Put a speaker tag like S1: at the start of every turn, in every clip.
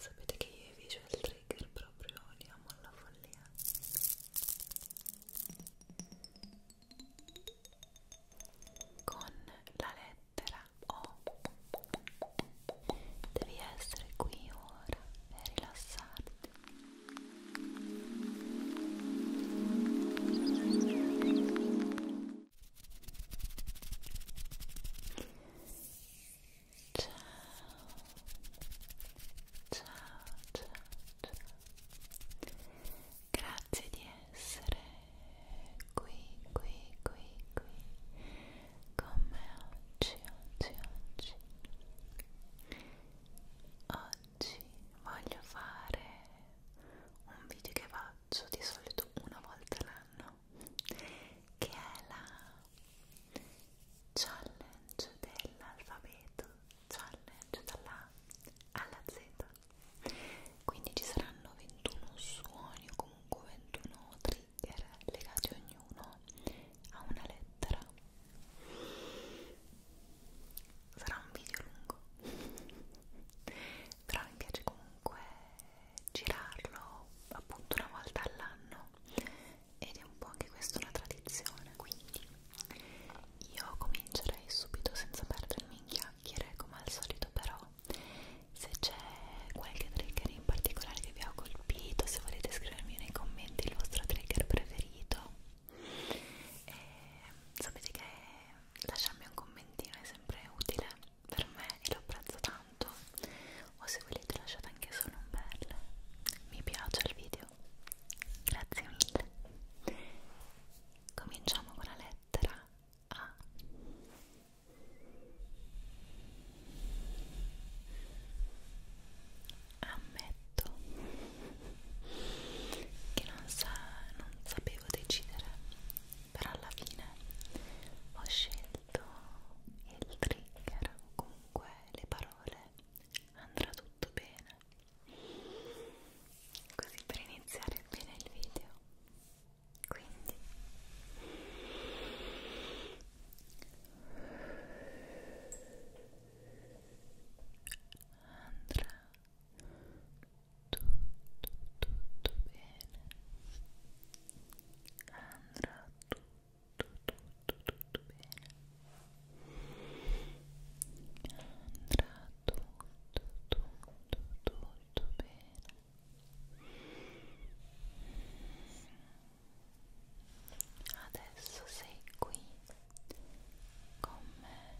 S1: Sapete che io i visual trigger proprio li amo alla follia. Con la lettera O devi essere qui ora e rilassarti ciao ciao ciao ciao grazie di essere qui qui qui qui con me oggi oggi oggi oggi voglio fare un video che faccio di solito una volta l'anno che è la challenge dell'alfabeto, challenge dalla A alla Z. Quindi ci saranno 21 suoni o comunque 21 trigger legati ognuno a una lettera. Sarà un video lungo, però mi piace comunque girarlo appunto una volta all'anno no? Ed è un po' anche questa la tradizione, quindi io comincerei subito senza perdermi in chiacchiere come al solito però se c'è qualche trigger in
S2: particolare che vi ha colpito, se volete scrivermi nei commenti il vostro trigger preferito e sapete che lasciarmi un commentino è sempre utile per me e lo apprezzo tanto o se volete lasciate anche solo un bel mi piace il video
S1: grazie mille cominciamo con la lettera A ammetto che non, sa, non sapevo decidere però alla fine ho scelto scelto il trigger o comunque le parole andrà tutto bene così per iniziare bene il video quindi andrà tutto tutto bene andrà tutto tutto, tutto, tutto bene andrà tutto, tutto, tutto bene adesso sei qui con me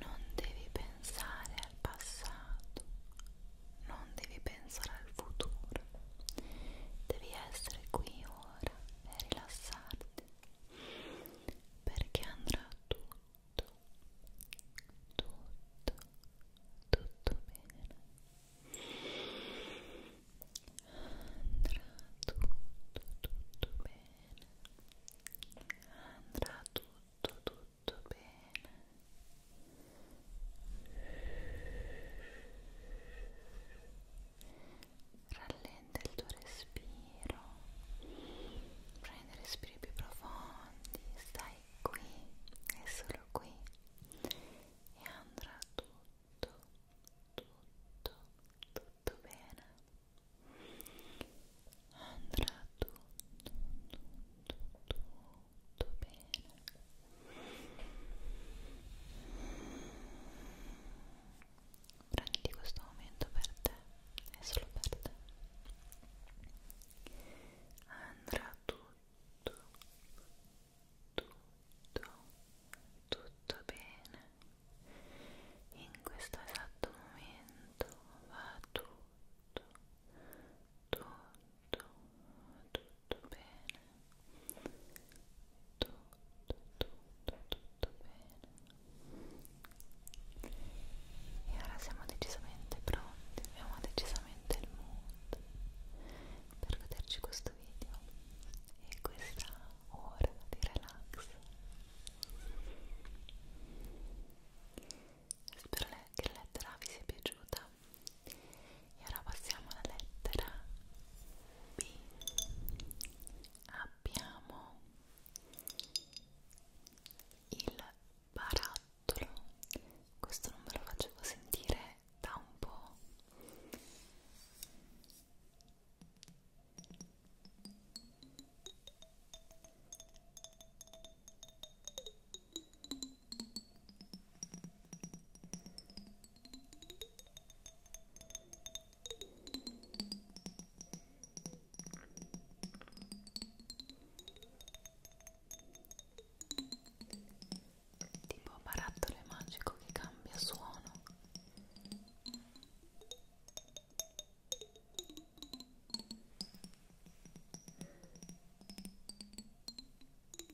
S1: non devi pensare al passato, non devi pensare al futuro, devi essere qui ora e rilassarti perché andrà tutto, tutto, tutto bene. Andrà tutto, tutto bene. Andrà tutto, tutto tutto bene rallenta il tuo respiro prendi respiri più profondi stai qui e solo qui e andrà tutto tutto tutto bene andrà tutto tutto tutto molto bene prenditi questo momento per te è solo per te andrà tutto tutto tutto bene in questo esatto momento va tutto tutto tutto bene tutto tutto tutto bene e ora siamo decisamente pronti abbiamo decisamente il mood per goderci questo video e questa ora di relax spero che la lettera vi sia piaciuta e ora passiamo alla lettera B abbiamo il barattolo questo non ve lo facevo sentire da un po' tipo barattolo magico che cambia suono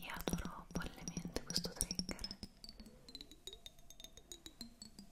S1: Io adoro follemente questo trigger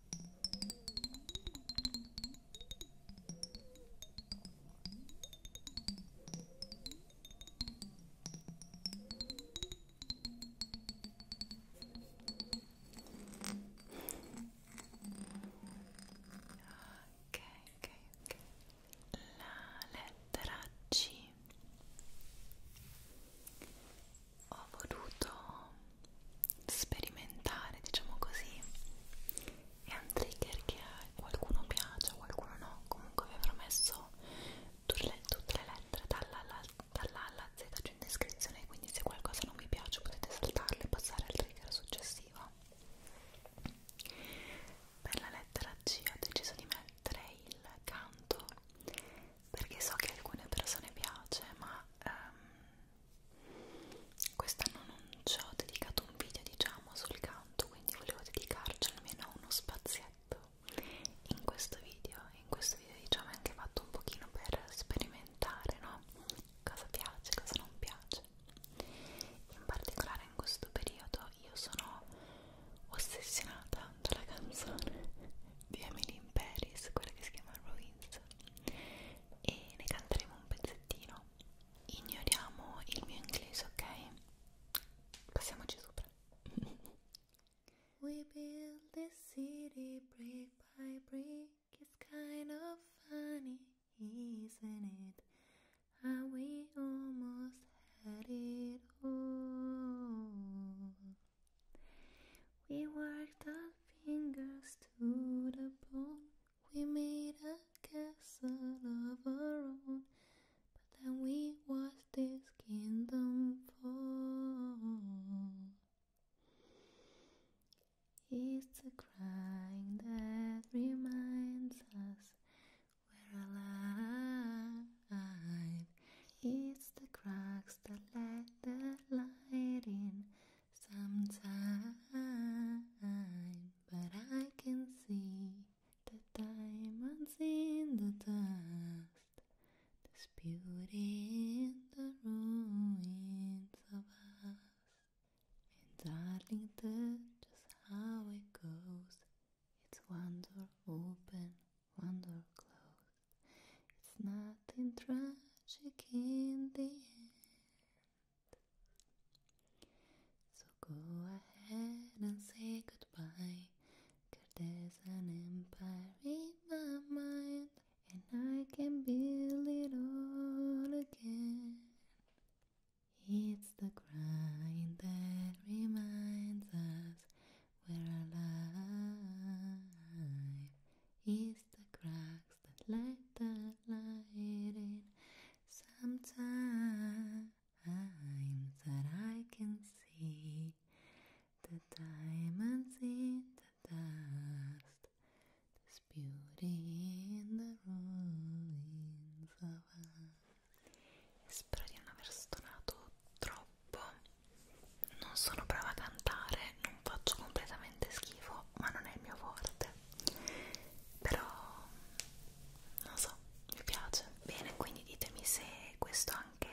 S1: ok, ok, ok. La lettera C ho voluto sperimentare, diciamo così, è un trigger che a qualcuno piace, a qualcuno no, comunque vi avrò messo tutte le, tutte le lettere dalla alla, dalla alla Z giù in descrizione, quindi se qualcosa non vi piace potete saltarle e passare al trigger successivo. Per la lettera C ho deciso di mettere il canto perché so che a alcune persone piace ma ehm, Quest'anno non ci ho dedicato un video, diciamo, sul canto, quindi volevo dedicarci almeno uno spazietto in questo video. In questo video, diciamo, è anche fatto un pochino per sperimentare, no? Cosa piace, cosa non piace. In particolare in questo periodo io sono ossessionata dalla canzone di Emily in Paris, quella che si chiama Ruins e ne canteremo un pezzettino. Ignoriamo
S2: il mio inglese, ok? Passiamoci sopra. We build this city brick by brick. It's kind of funny, isn't it? How we almost had it all. We worked a fingers to the bone. We made a castle of our own, but then we watched this kingdom fall. It's a crying that reminds us we're alive. It's the cracks that let the light in. Sometimes, but I can see the diamonds in the dust, this beauty in the ruins of us. And darling, that's just how it goes. It's one door open, one door closed. It's nothing tragic in the end. So go ahead and say goodbye. there's an empire in my mind, and I can build it all again. It's the grind that reminds us we're alive. It's the cracks that let the light in. Sometimes that I can see the diamonds in the dust. There's beauty in the ruins of us. Spero di non aver stonato troppo. Non sono brava a cantare,
S1: non faccio completamente veramente schifo, ma non è il mio forte. Però non so, mi piace. Bene, quindi ditemi se questo anche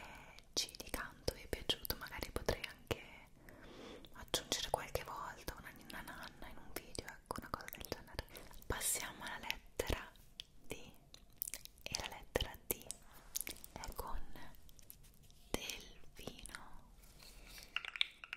S1: C di canto vi è piaciuto, magari potrei anche aggiungere qualche volta una ninna nanna in un video, ecco, una cosa del genere. Passiamo alla lettera D e la lettera D è con delfino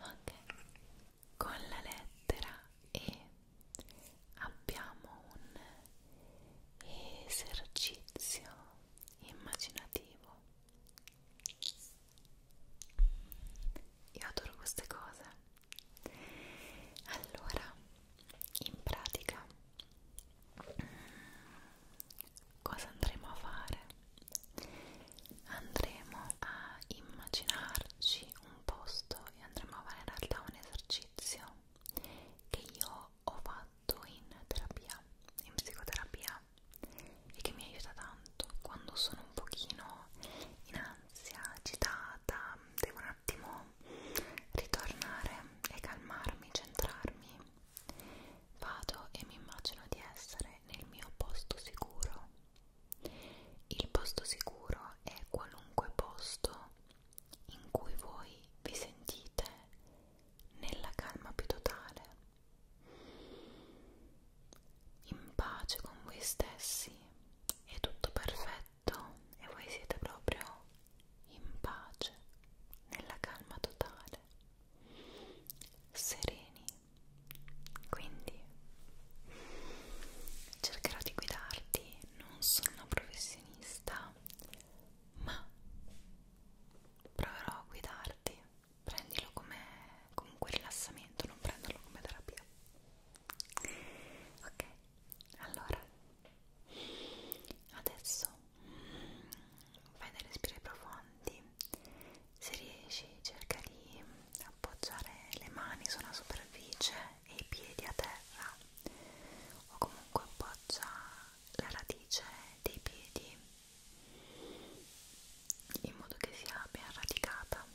S1: ok con la lettera E abbiamo un esercizio immaginativo io adoro queste cose allora in pratica cosa andremo a fare andremo a immaginarci un posto e andremo a fare in realtà un esercizio che io ho fatto in terapia in psicoterapia e che mi aiuta tanto quando sono un pochino in ansia, agitata, devo un attimo ritornare e calmarmi, centrarmi, vado e mi immagino di essere nel mio posto sicuro. Il posto sicuro è qualunque posto in cui voi vi sentite nella calma più totale, in pace con voi stessi, è tutto perfetto letto e voi siete proprio in pace, nella calma totale, sereni. Quindi cercherò di guidarti, non sono una professionista, ma proverò a guidarti. Prendilo come comunque rilassamento, non prenderlo come terapia. Ok, allora adesso mm, fai dei respiri profondi se riesci cerca di appoggiare le mani sulla superficie e i piedi a terra o comunque appoggia la radice dei piedi in modo che sia ben radicata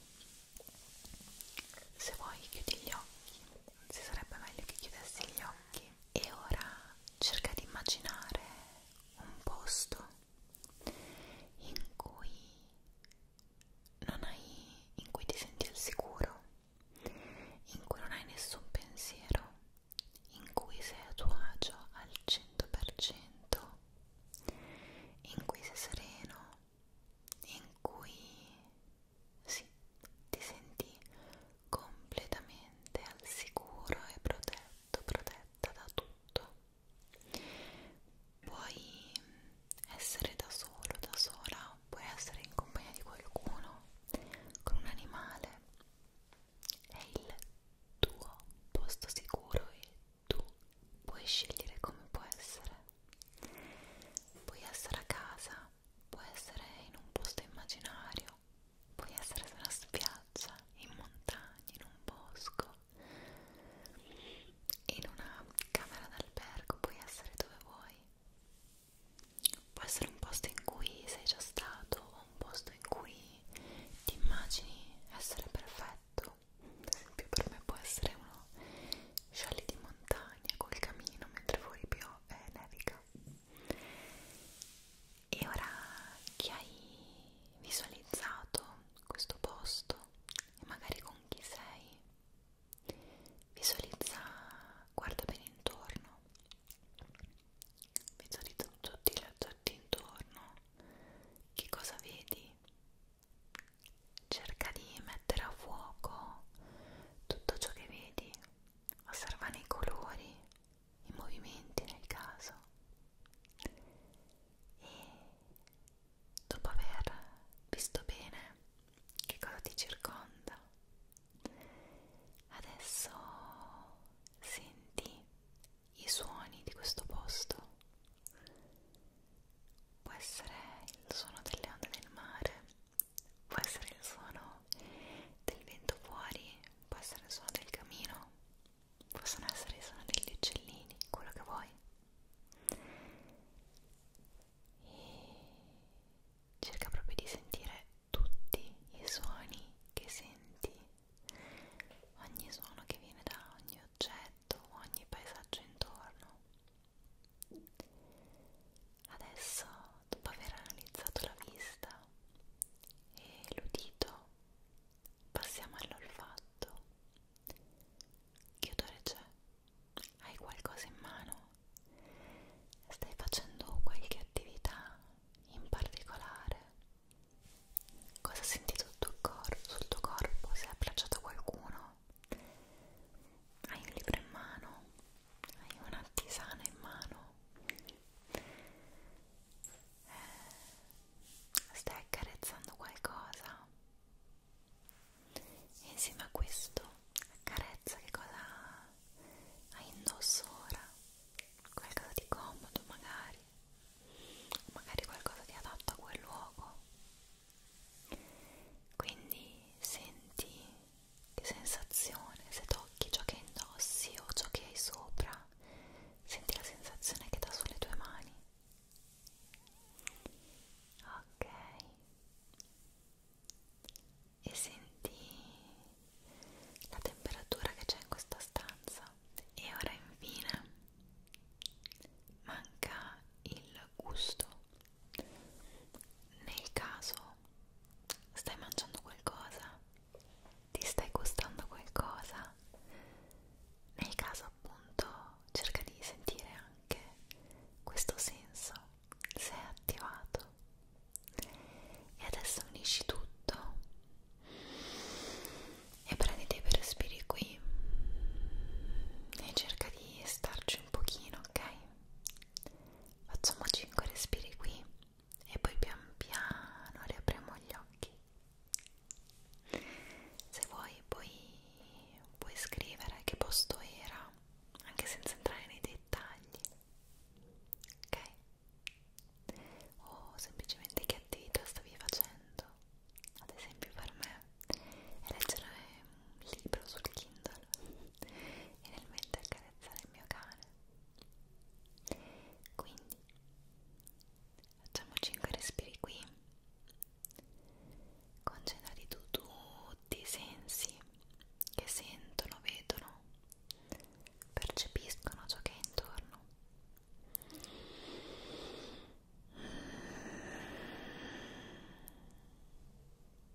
S1: se vuoi chiudi gli occhi si sarebbe meglio che chiudessi gli occhi e ora cerca di immaginare un posto in cui non hai in cui ti senti al sicuro in cui non hai nessun pensiero in cui sei a tuo agio al 100% in cui sei sereno in cui sì, ti senti completamente al sicuro e protetto, protetta da tutto. Puoi essere da solo, da sola, puoi essere in compagnia di qualcuno, con un animale. È il tuo posto sicuro e tu puoi scegliere come può essere. Puoi essere a casa, può essere in un posto immaginario, può essere su una spiaggia, in montagna, in un bosco, in una camera d'albergo, puoi essere dove vuoi. Può essere un posto in cui sei già stato o un posto in cui ti immagini essere perfetto. Ad esempio per me può essere uno scialli di montagna col camino mentre fuori piove quando eh, nevica e ora che hai visualizzato questo posto e magari con chi sei visualizza guarda bene intorno visualizza tutti, tutti intorno che cosa vedi cerca di mettere a fuoco tutto ciò che vedi osservane i colori, i movimenti nel caso e dopo aver visto bene che cosa ti circonda adesso senti i suoni di questo posto può essere il suono delle onde del mare può essere il suono del vento fuori, può essere il suono del camino, possono essere il suono degli uccellini, quello che vuoi. E cerca proprio di sentire tutti i suoni che senti, ogni suono che viene da ogni oggetto, ogni paesaggio intorno. Adesso, dopo aver analizzato la vista e l'udito, passiamo all'olfatto. Che odore c'è? Hai qualcosa in mano? Stai facendo qualche attività in particolare? Cosa senti sul tuo, cor sul tuo corpo? Sei abbracciato a qualcuno? Hai un libro in mano? hai una tisana in mano eh, stai accarezzando qualcosa e insieme a questo accarezza che cosa hai indosso ora qualcosa di comodo magari magari qualcosa di adatto a quel luogo quindi senti che sensazione se tocchi ciò che indossi o ciò che hai sopra senti la sensazione che dà sulle tue mani ok e senti la temperatura che c'è in questa stanza e ora infine manca il gusto nel caso Stai mangiando qualcosa? Ti stai gustando qualcosa? Nel caso appunto cerca di sentire anche questo senso se è attivato. E adesso unisci tutto e prendi dei respiri qui e cerca di starci un pochino, ok? Facciamo 5 respiri qui e poi pian piano riapriamo gli occhi. Se vuoi puoi, puoi scrivere che posto era, anche senza entrare nei dettagli, ok? O semplicemente che attività stavi facendo, ad esempio per me è leggere un libro sul Kindle e nel mentre accarezzare il mio cane quindi facciamo 5 respiri qui concentrati tu tutti i sensi che sentono, vedono percepiscono ciò che è intorno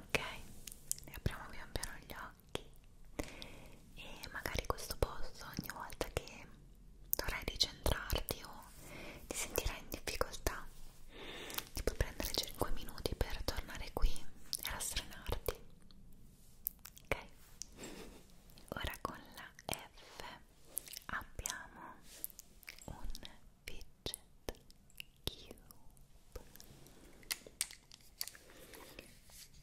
S1: ok e apriamo pian piano gli occhi e magari questo posto ogni volta che dovrai ricentrarti o ti sentirai in difficoltà ti puoi prendere 5 minuti per tornare qui e rastrenarti ok ora con la F abbiamo un fidget Cube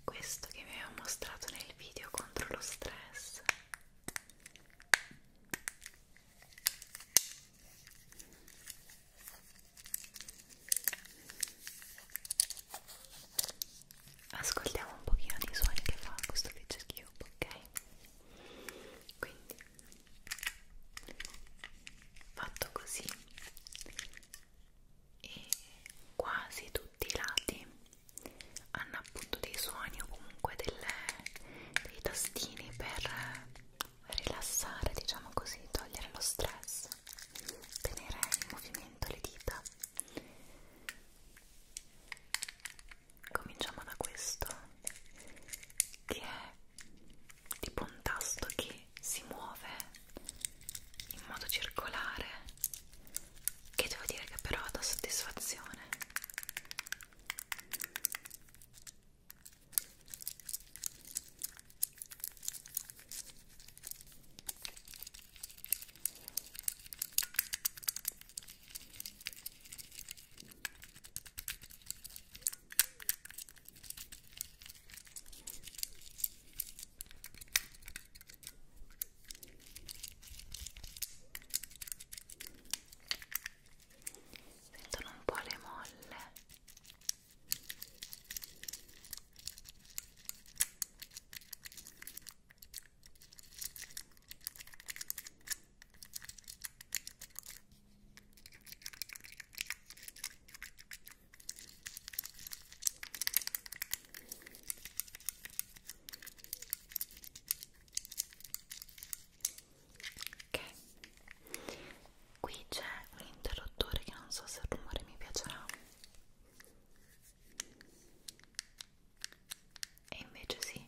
S1: questo che mi aveva mostrato nel video contro lo stress ascoltiamo un pochino di suoni che fa questo fidget cube ok quindi fatto così e quasi tutti i lati hanno appunto dei suoni o comunque delle, dei tastini per rilassare diciamo così togliere lo stress tenere in movimento le dita cominciamo da questo che è tipo un tasto che si muove in modo circolare che devo dire che però dà soddisfazione Sentono un po' le molle. Ok, qui c'è un interruttore che non so se il rumore mi piacerà. E invece sì.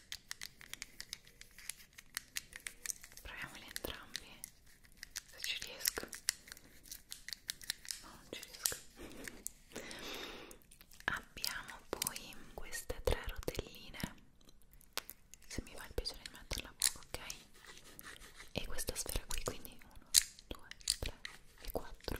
S1: proviamoli entrambi se ci riesco no, non ci riesco abbiamo poi queste tre rotelline se mi va il piacere di metterla a poco ok e questa sfera qui quindi 1 2 3 e 4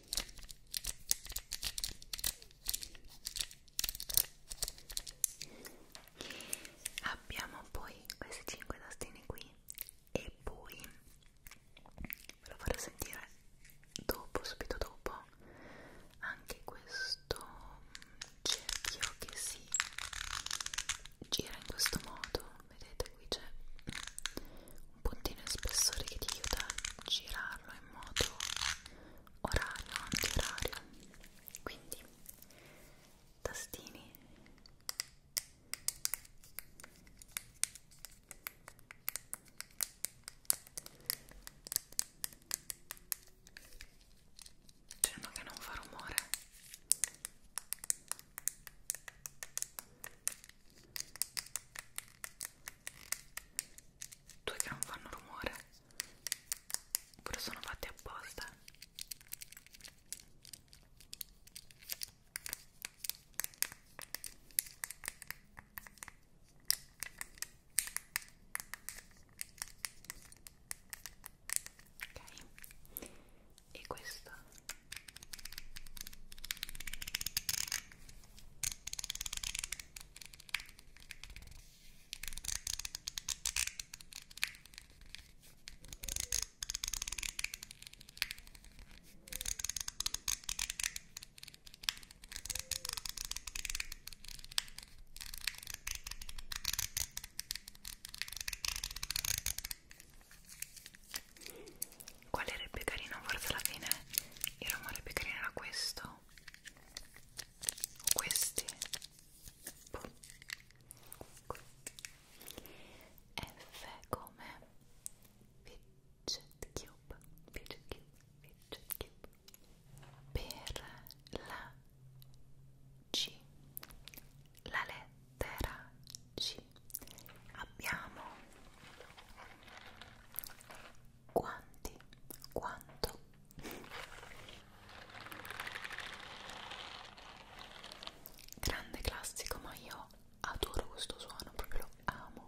S1: abbiamo poi questi 5 tastini qui e poi ve lo farò sentire dopo subito dopo anche questo cerchio che si gira in questo modo vedete qui c'è un puntino di spessore che ti aiuta a girare farlo in modo orario, antiorario quindi tastini dicendo che non fa rumore due che non fanno rumore oppure sono fatti apposta ok e questo Qual era il più carino? Forse alla fine il rumore più carino era questo sono questi Pum. F come fidget cube, fidget cube, fidget cube per la C, la lettera C abbiamo quanti, quanto. Grande classico, ma io adoro questo suono, proprio lo amo.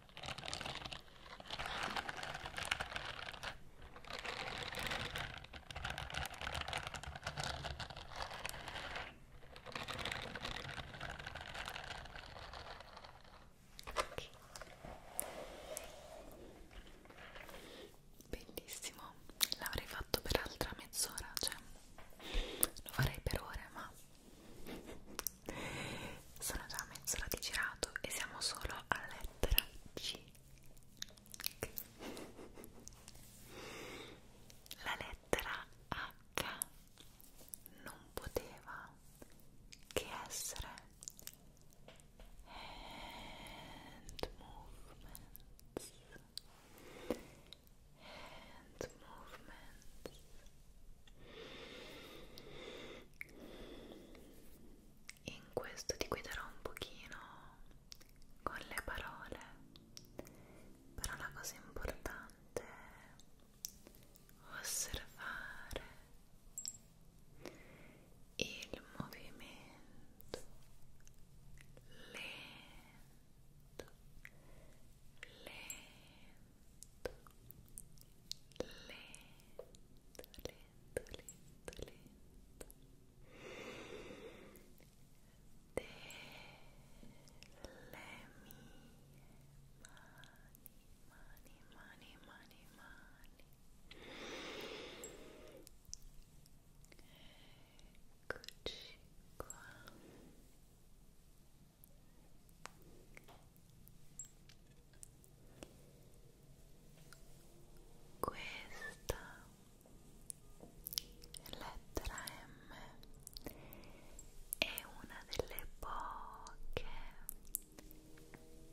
S1: Okay. Bellissimo, l'avrei fatto per altra mezz'ora, cioè lo farei per ore, ma sono già a mezz'ora di girato e siamo solo alla lettera C. La lettera H non poteva che essere hand movements hand movements in questo ti guiderò un pochino con le parole, però la cosa importante è osservare il movimento lento lento lento, lento, lento, lento de mie mani, mani, mani, mani, mani eccoci qua Questa lettera M è una delle poche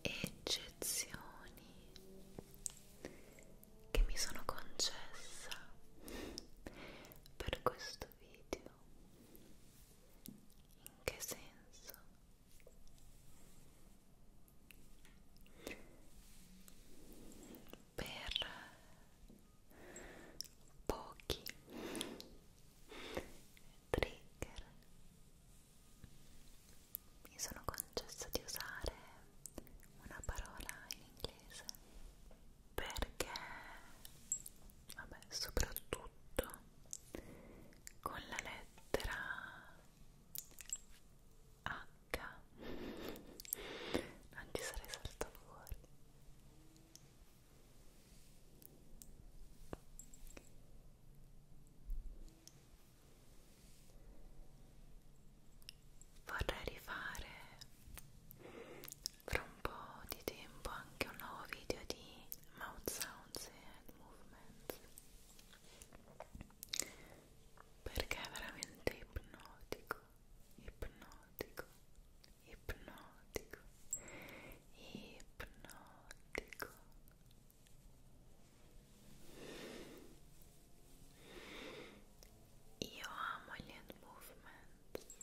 S1: eccezioni che mi sono concessa per questo video. In che senso? per pochi trigger mi sono concesso di usare una parola in inglese perché vabbè, soprattutto con la lettera H non ci sarei saltato fuori vorrei rifare fra un po' di tempo anche un nuovo video di mouth sounds e movements perché è veramente ipnotico ipnotico ipnotico ipnotico io amo gli movements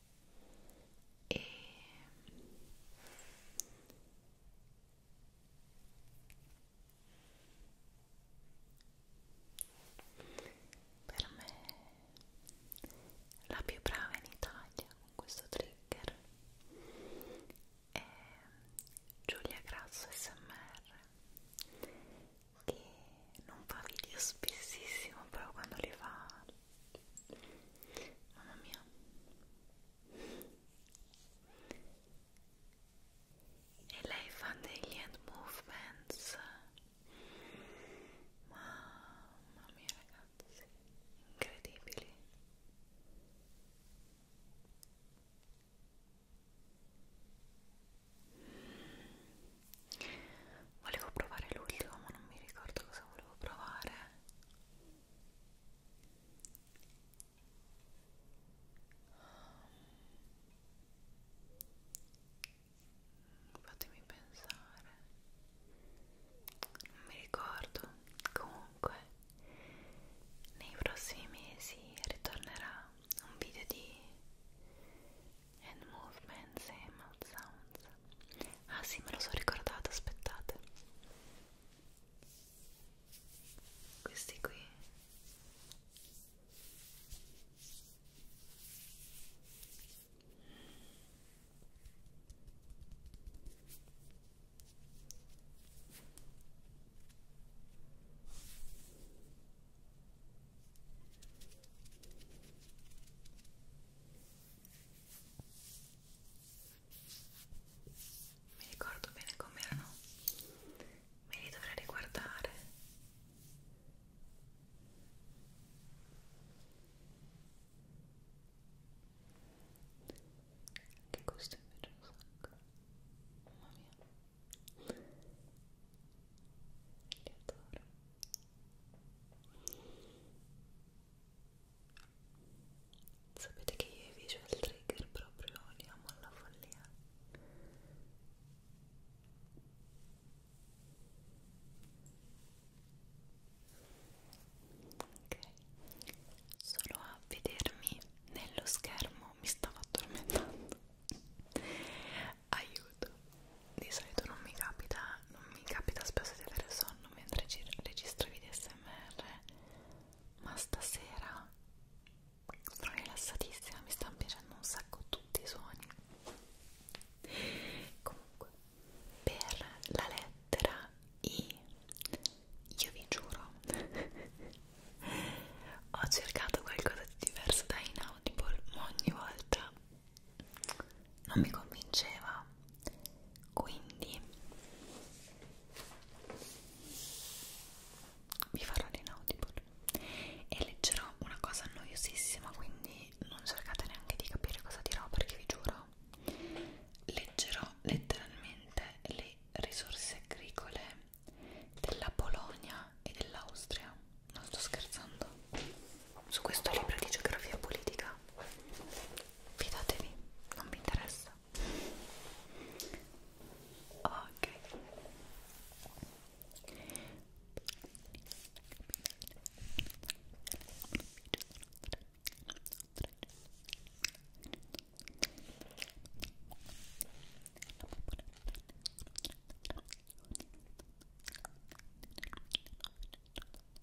S1: e per me la più brava in Italia con questo trigger è Giulia Grasso SMR che non fa video spessissimo però quando li fa Mamma mia. E lei fa degli hand movements. Mamma mia ragazzi, incredibili. Volevo provare l'ultimo ma non mi ricordo cosa volevo provare Um, fatemi pensare non mi ricordo comunque nei prossimi mesi ritornerà un video di hand movements e mouth sounds Ah sì, me lo so ricordato, aspettate. Questi qui mi ricordo bene com'erano me li dovrei riguardare che questo invece un sacco mamma mia li adoro Sapete che io i visual trigger proprio li amo alla follia. Ok, solo a vedermi nello schermo mi stavo addormentando. Aiuto, di solito non mi capita non mi capita spesso di avere sonno mentre registro video smr ma stasera sono rilassatissima mi stanno piacendo un sacco tutti i suoni comunque per la lettera I io vi giuro ho cercato qualcosa di diverso da Inaudible ma ogni volta non mi convinceva quindi vi farò l'inaudible e leggerò una cosa noiosissima quindi non cercate neanche di capire cosa dirò perché vi giuro leggerò letteralmente le risorse agricole della Polonia e dell'Austria non sto scherzando su questo libro di geografia politica fidatevi, non mi interessa ok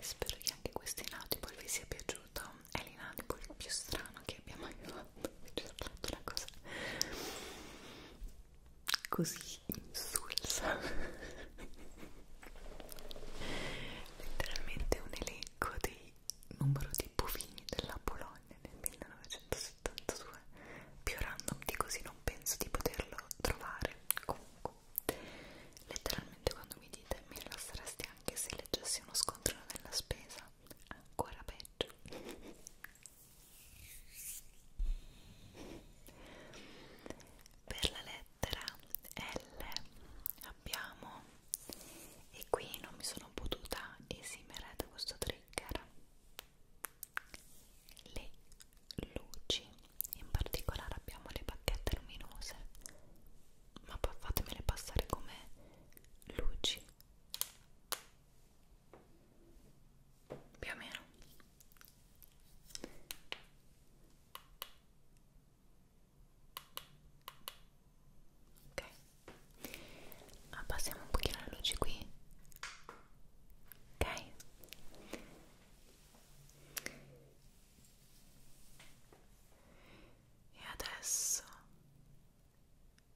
S1: spero che anche questo inaudible vi sia piaciuto è l'inaudible più strano che abbiamo mai fatto ci ho fatto una cosa così insulsa letteralmente un elenco del numero di bovini della Polonia nel 1972 più random di così non penso di poterlo trovare comunque fuoco. Letteralmente quando mi dite mi rilasseresti anche se leggessi uno scontrino della spesa, ancora peggio. per la lettera L abbiamo e qui non mi sono potuta esimere da questo trigger le luci in particolare abbiamo le bacchette luminose ma poi fatemele passare come luci più o meno ok abbassiamo ah, un pochino le luci qui ok e adesso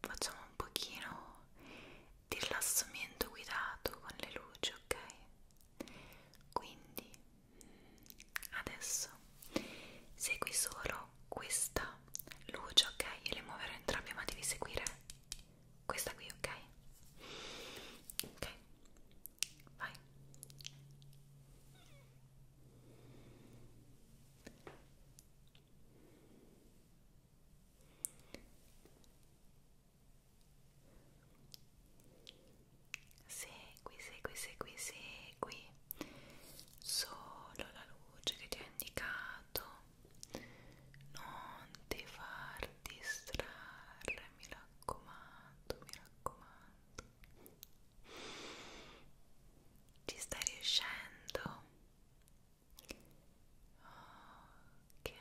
S1: facciamo un pochino di rilassamento guidato con le luci, ok? Quindi adesso segui solo questa luce, ok? Io le muoverò entrambe, ma devi seguire questa qui, ok? Ok vai segui, segui, segui, segui solo la luce che ti ho indicato non ti far distrarre mi raccomando, mi raccomando ci stai riuscendo? Ok.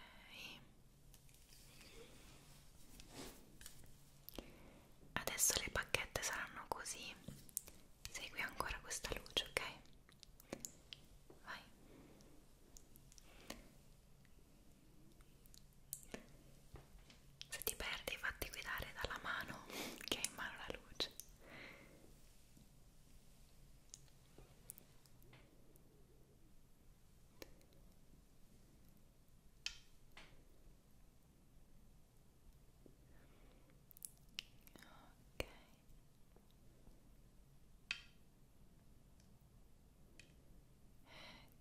S1: Adesso le bacchette saranno così. Segui ancora questa luce, ok? Vai. Se ti perdi fatti guidare dalla mano che ha in mano la luce. Ok.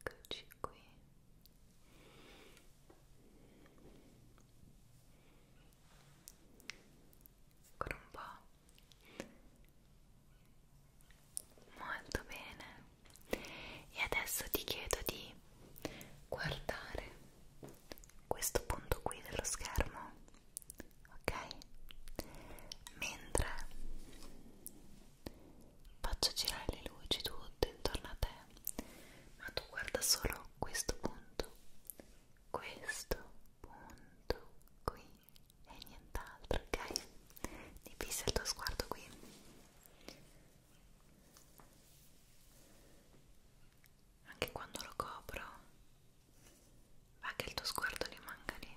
S1: Eccoci qui. Ancora un po'. Molto bene. E adesso ti chiedo di guardare questo punto qui dello schermo, ok? Mentre faccio girare le luci tutte intorno a te ma tu guarda solo questo punto, questo punto qui e nient'altro, ok? Ti fissa il tuo sguardo qui. Anche quando lo copro, va che il tuo sguardo rimanga lì.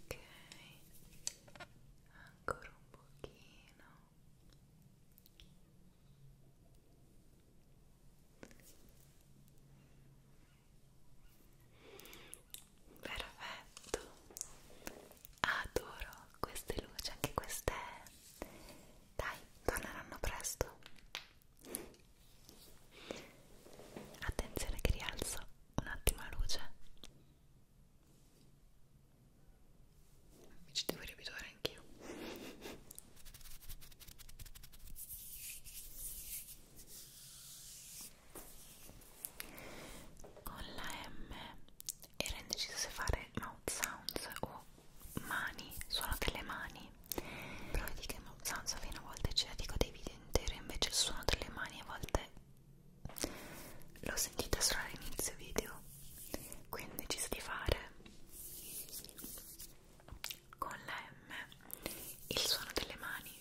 S1: Ok, ancora un pochino perfetto adoro queste luci anche queste dai torneranno presto attenzione che rialzo un attimo la luce mi ci devo riabituare anch'io con la M ero indecisa se fare mouth sounds o mani, suono delle mani però vedi che mouth sounds fino a volte ce la dico dei video interi invece il suono delle mani a volte l'ho sentita solo all'inizio video quindi ho deciso di fare con la M il suono delle mani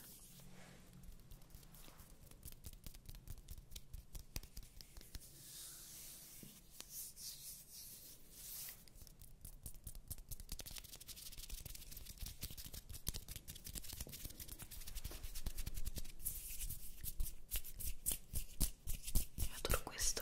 S1: io adoro questo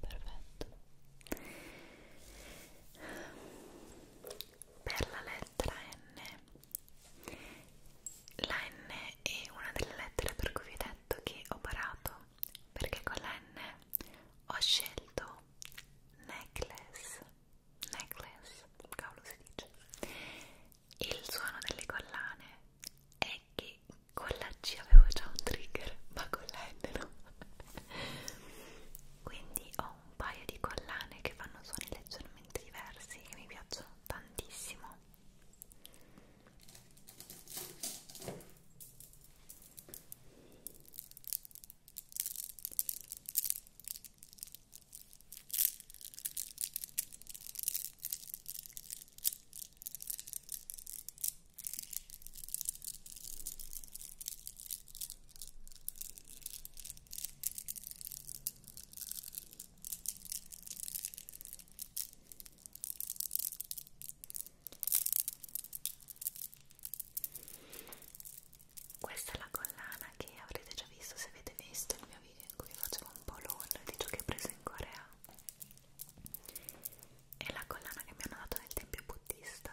S1: Perfetto. Per la lettera N, la N è una delle lettere per cui vi ho detto che ho parato, perché con la N ho scelto necklace, necklace, cavolo si dice, il suono delle collane è che con la C avevo già un trigger ma con la N no quindi ho un paio di collane che fanno suoni leggermente diversi che mi piacciono tantissimo questa è la collana che avrete già visto se avete visto il mio video video in cui facevo un po' l'haul di ciò che ho preso in Corea e la collana che mi hanno dato nel tempio buddista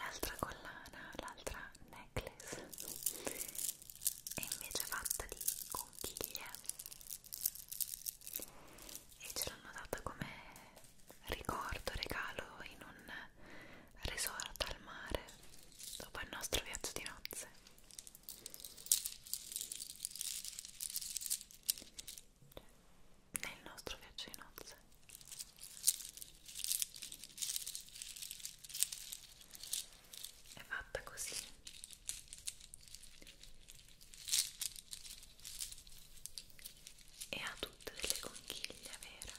S1: L'altra collana, l'altra necklace è invece fatta di conchiglie e ce l'hanno data come ricordo, regalo in un resort al mare dopo il nostro viaggio di nozze. Nel nostro viaggio di nozze. È fatta così e ha tutte delle conchiglie vere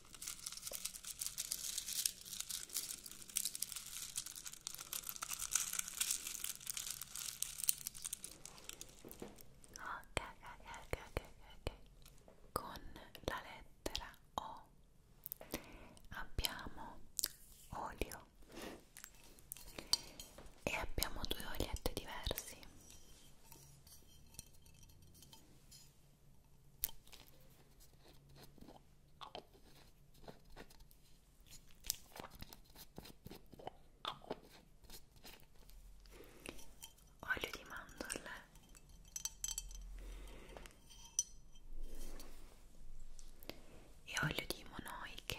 S2: ok ok ok ok con la lettera O abbiamo olio
S1: e abbiamo due olietti diversi olio di mandorle e olio di monoi che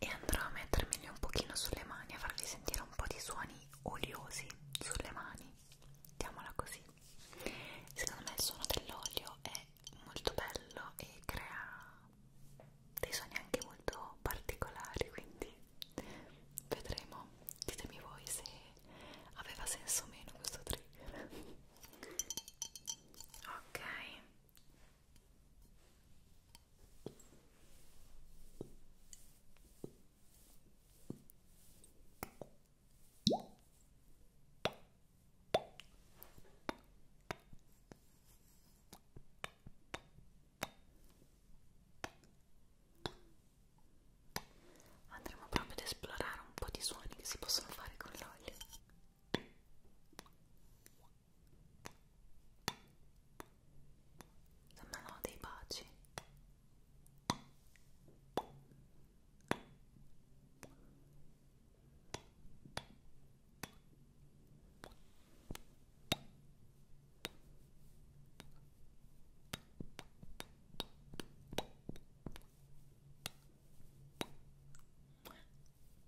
S1: e andrò a mettermeli un pochino sulle mani a farvi sentire un po' di suoni oliosi sulle mani diamola così secondo me il suono dell'olio è molto bello e crea dei suoni anche molto particolari quindi vedremo ditemi voi se aveva senso o meno questo trigger ok Andremo proprio ad esplorare un po' di suoni che si possono fare con l'olio. Sembrano dei baci.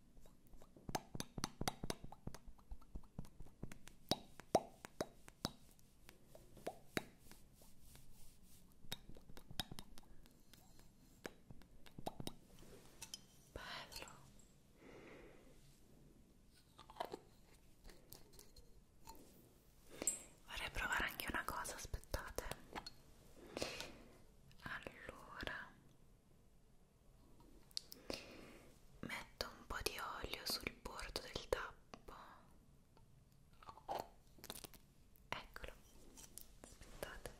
S1: Bello. Vorrei provare anche una cosa, aspettate. Allora Metto un po' di olio sul bordo del tappo. Eccolo. Aspettate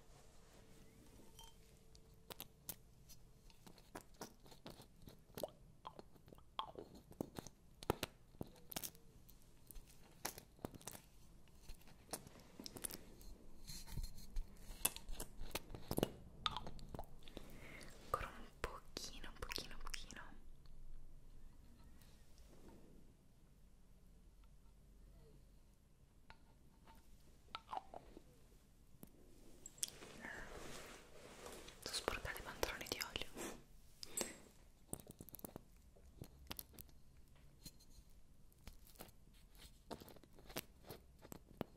S1: ancora un pochino un pochino un pochino sto sporcando i pantaloni di olio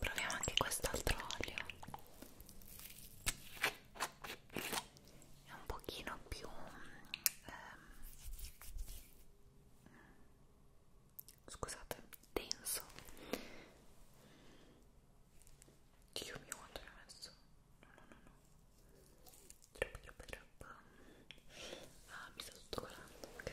S1: Proviamo anche quest'altro olio. È un pochino più ehm, scusate, denso che io mi quanto ne ho messo? no no no no troppo troppo troppo ah mi sta tutto colando, ok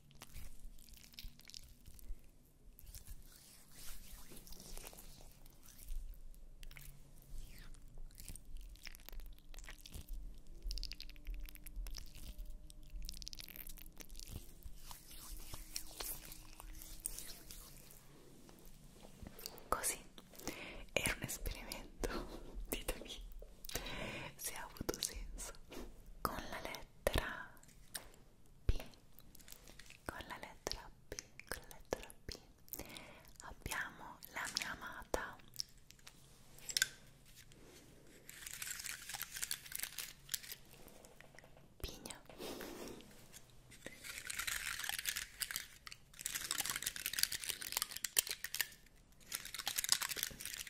S1: Così era un esperimento, ditemi se ha avuto senso. Con la LED lettera P con la lettera P con la lettera P abbiamo la mia amata Pigna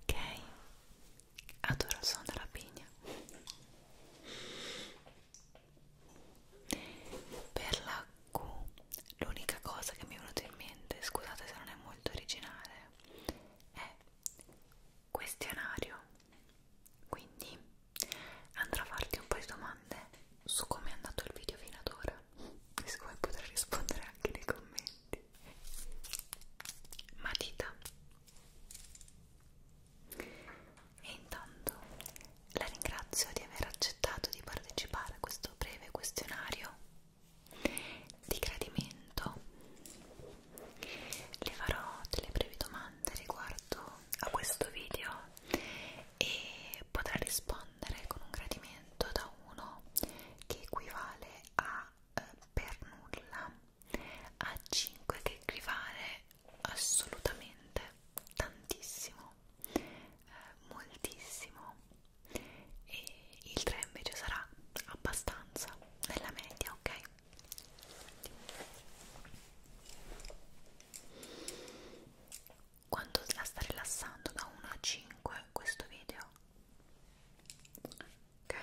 S1: Ok, adoro suona la pigna. Per la Q l'unica cosa che mi è venuta in mente, scusate se non è molto originale, è questionario. Quindi andrò a farti un po' di domande su come è andato il video fino ad ora e siccome potrai rispondere anche nei commenti. Matita. E intanto la ringrazio di aver accettato di partecipare a questo breve questionario di gradimento le farò delle brevi domande riguardo a questo video e potrà rispondere con un gradimento da 1 che equivale a eh, per nulla a 5 che equivale assolutamente tantissimo eh, moltissimo e il 3 invece sarà abbastanza nella media, ok? Quanto la sta rilassando da 1 a 5 questo video? Ok?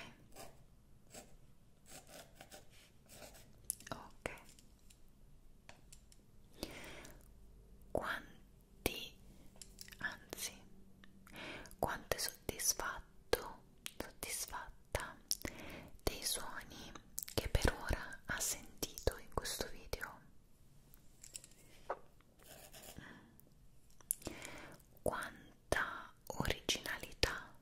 S1: Ok. Quanto di anzi quanto è soddisfatto soddisfatta dei suoni che per ora ha sentito in questo video quanta originalità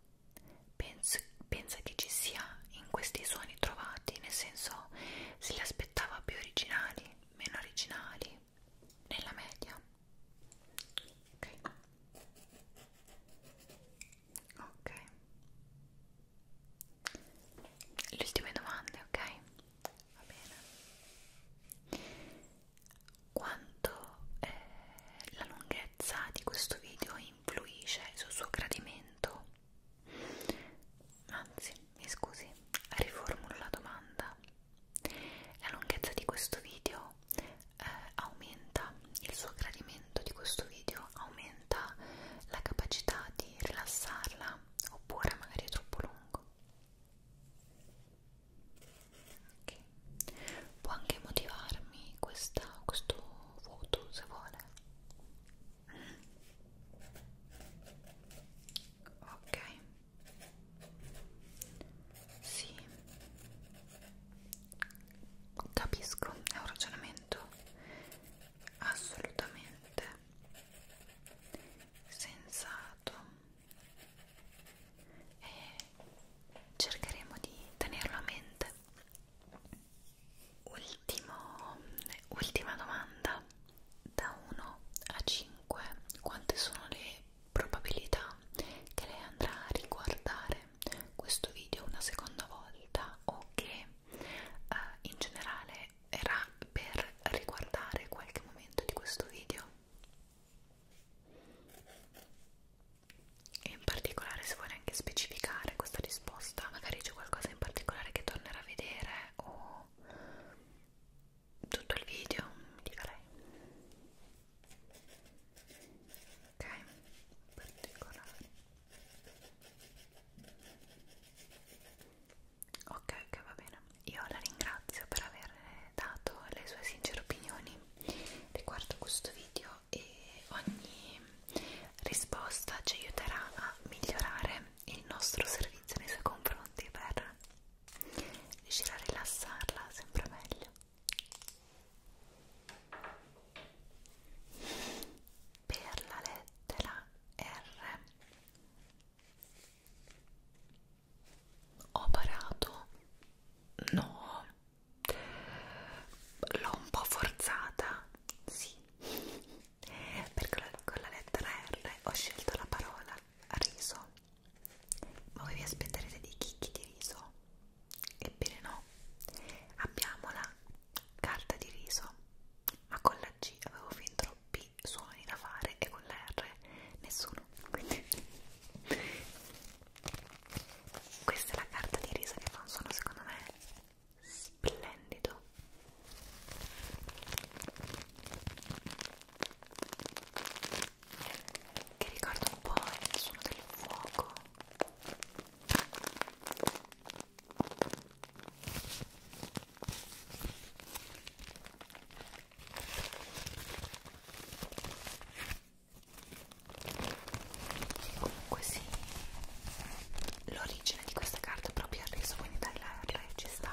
S1: penso, pensa che ci sia in questi suoni trovati nel senso se li aspettava più originali meno originali nella media ok ok le ultime domande ok va bene quanto eh, la lunghezza di questo video influisce sul suo gradimento anzi mi scusi, riformulo la domanda. La lunghezza di questo video eh, aumenta, il suo gradimento di questo video aumenta la capacità di rilassarla oppure magari è troppo lungo. Okay. Può anche motivarmi questa, questo voto se vuole. Mm. Ok. Sì, capisco, è un ragionamento assolutamente sensato e cercheremo di tenerlo a mente. Ultimo, ultima domanda da 1 a 5 quante sono le probabilità che lei andrà a riguardare questo video una seconda volta o che eh, in generale era per riguardare qualche momento di questo video e in particolare se vuole anche specificare questa risposta magari c'è qualcosa in particolare che tornerà a vedere o tutto il video, mi dica lei. Ok, particolare. Ok, ok, va bene. Io la ringrazio per aver dato le sue sincere opinioni riguardo questo video e ogni risposta ci aiuterà a migliorare il nostro servizio nei suoi confronti per riuscire a rilassarla sempre meglio per la lettera R ho parato no l'ho un po' forzata sì perché con la lettera R ho scelto la parola riso ma voi vi aspetterete dei chicchi di riso? Ebbene no, abbiamo la carta di riso, ma con la G avevo fin troppi suoni da fare e con la R nessuno. Quindi questa è la carta di riso che fa un suono secondo me splendido che ricorda un po' il suono del fuoco comunque sì l'origine di questa carta è proprio il riso quindi dai la, la ci sta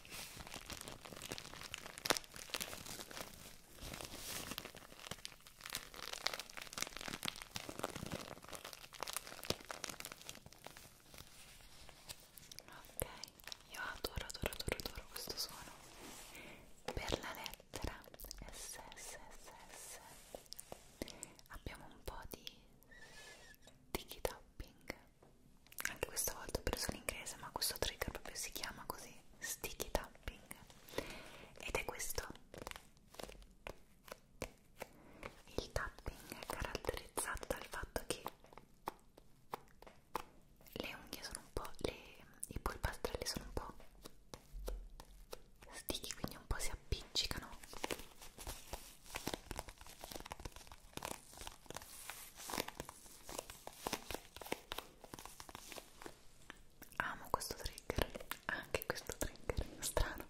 S1: Ok, io adoro, adoro, adoro, adoro questo suono per la lettera SSSS abbiamo un po' di sticky tapping anche questa volta ho preso l'inglese ma questo trigger proprio si chiama così sticky tapping ed è questo il tapping è caratterizzato dal fatto che le unghie sono un po' le, i polpastrelli sono un po' sticky quindi un po' si appiccicano Amo questo trigger, anche questo trigger, strano.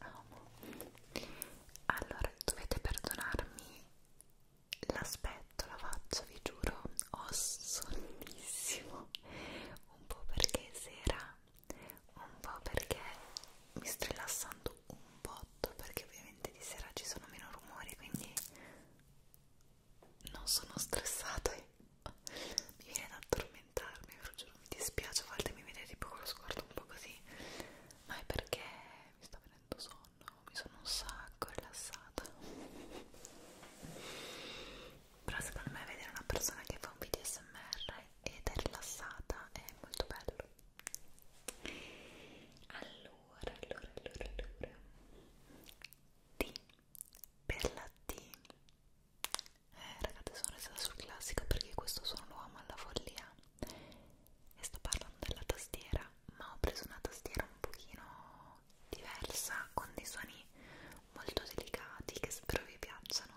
S1: amo allora dovete perdonarmi l'aspetto, la faccia vi giuro ho sonnissimo un po' perché è sera un po' perché mi sto rilassando un botto perché ovviamente di sera ci sono meno rumori quindi non sono stressata e mi viene da addormentarmi, vi giuro mi dispiace a volte mi viene tipo con lo sguardo un po' così ma è perché mi sta venendo sonno, mi sono un sacco rilassata però secondo me vedere una persona che fa un video smr ed è rilassata è molto bello allora, allora, allora, allora D per la D eh, ragazzi sono restata sul classico perché questo suono lo amo alla follia e sto parlando della tastiera ma ho preso una tastiera un pochino diversa con dei suoni molto delicati che spero vi piacciono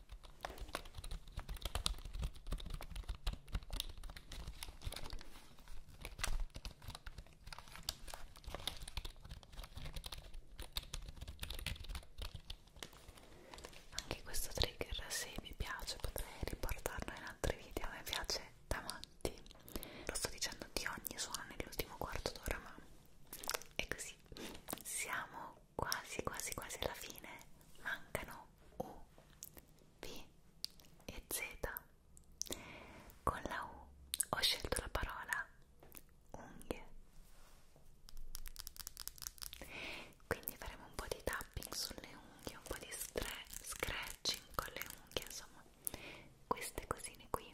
S1: Anche questo trigger, se vi piace, potrei riportarlo in altri video. Mi piace da matti. Lo sto dicendo di ogni suono nell'ultimo quarto d'ora, ma è così. Siamo quasi, quasi, quasi alla fine. Mancano U, V e Z. Con la U ho scelto la parola unghie. Quindi faremo un po' di tapping sulle unghie, un po' di scratching con le unghie, insomma, queste cosine qui.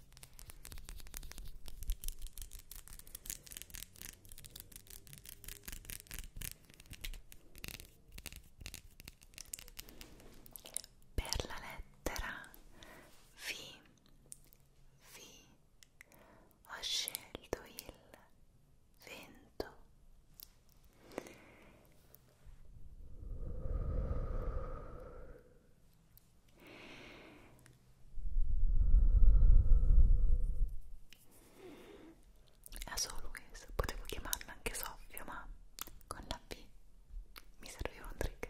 S1: Per la lettera V, V ho scelto il vento. La Soluis, potevo chiamarla anche Sofia, ma con la P mi serviva un trigger.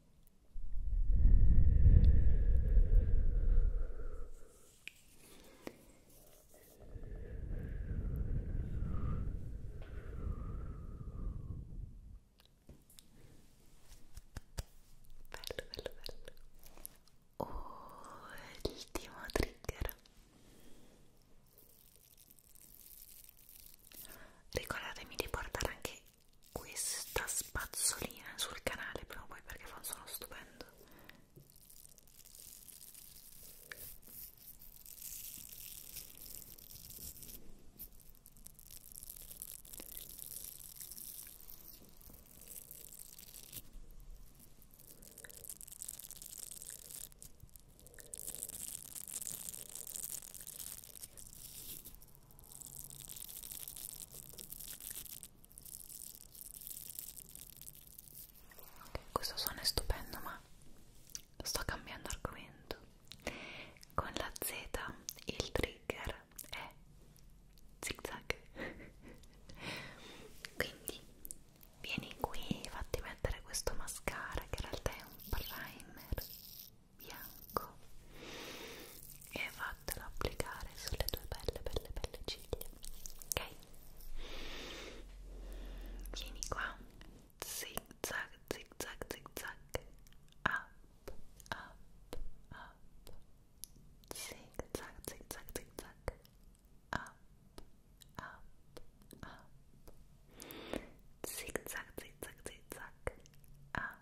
S1: bello bello oh, ultimo trigger ricordatevi di portare anche questa spazzolina sul canale prima o poi perché fa un suono stupendo Okay, questo suono è stupendo, ma sto cambiando argomento. Con la Z il trigger è zigzag. Quindi vieni qui, fatti mettere questo mascara che in realtà è un primer bianco e va fatelo applicare sulle tue belle, belle, belle ciglia. Ok? Vieni qua. Zig zag, zig zag, zig zag. Up, up, up. Zig zag, zig zag, zig zag. Up, up, up. Zig zag, zig zag, zig zag. Up.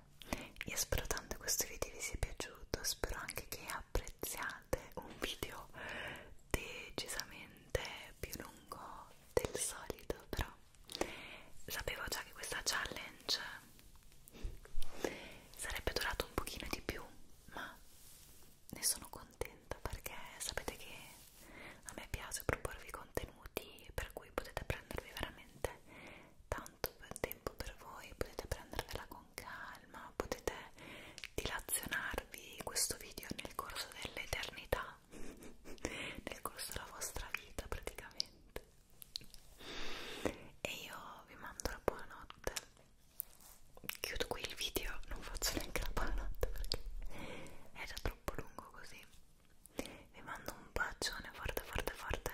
S1: Io spero tanto questo video vi sia piaciuto, spero anche che apprezziate un video decisamente più lungo del solito, però sapevo già che questa challenge sarebbe durata un pochino di più, ma ne sono contenta perché sapete che a me piace proporvi contenuti per cui potete prendervi veramente tanto tempo per voi, potete prendervela con calma, potete dilazionarvi questo video nel corso dell'eternità, nel corso della vostra vita praticamente. E io vi mando la buonanotte. Chiudo qui il video, non faccio neanche la buonanotte perché è già troppo lungo così. Vi mando un bacione forte forte forte.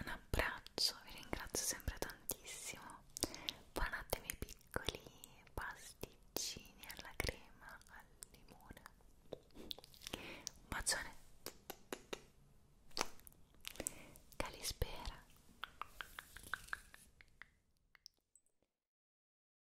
S1: Un abbraccio, vi ringrazio sempre tantissimo. Buonanotte miei piccoli pasticcini alla crema al limone. Un bacione. Calispera.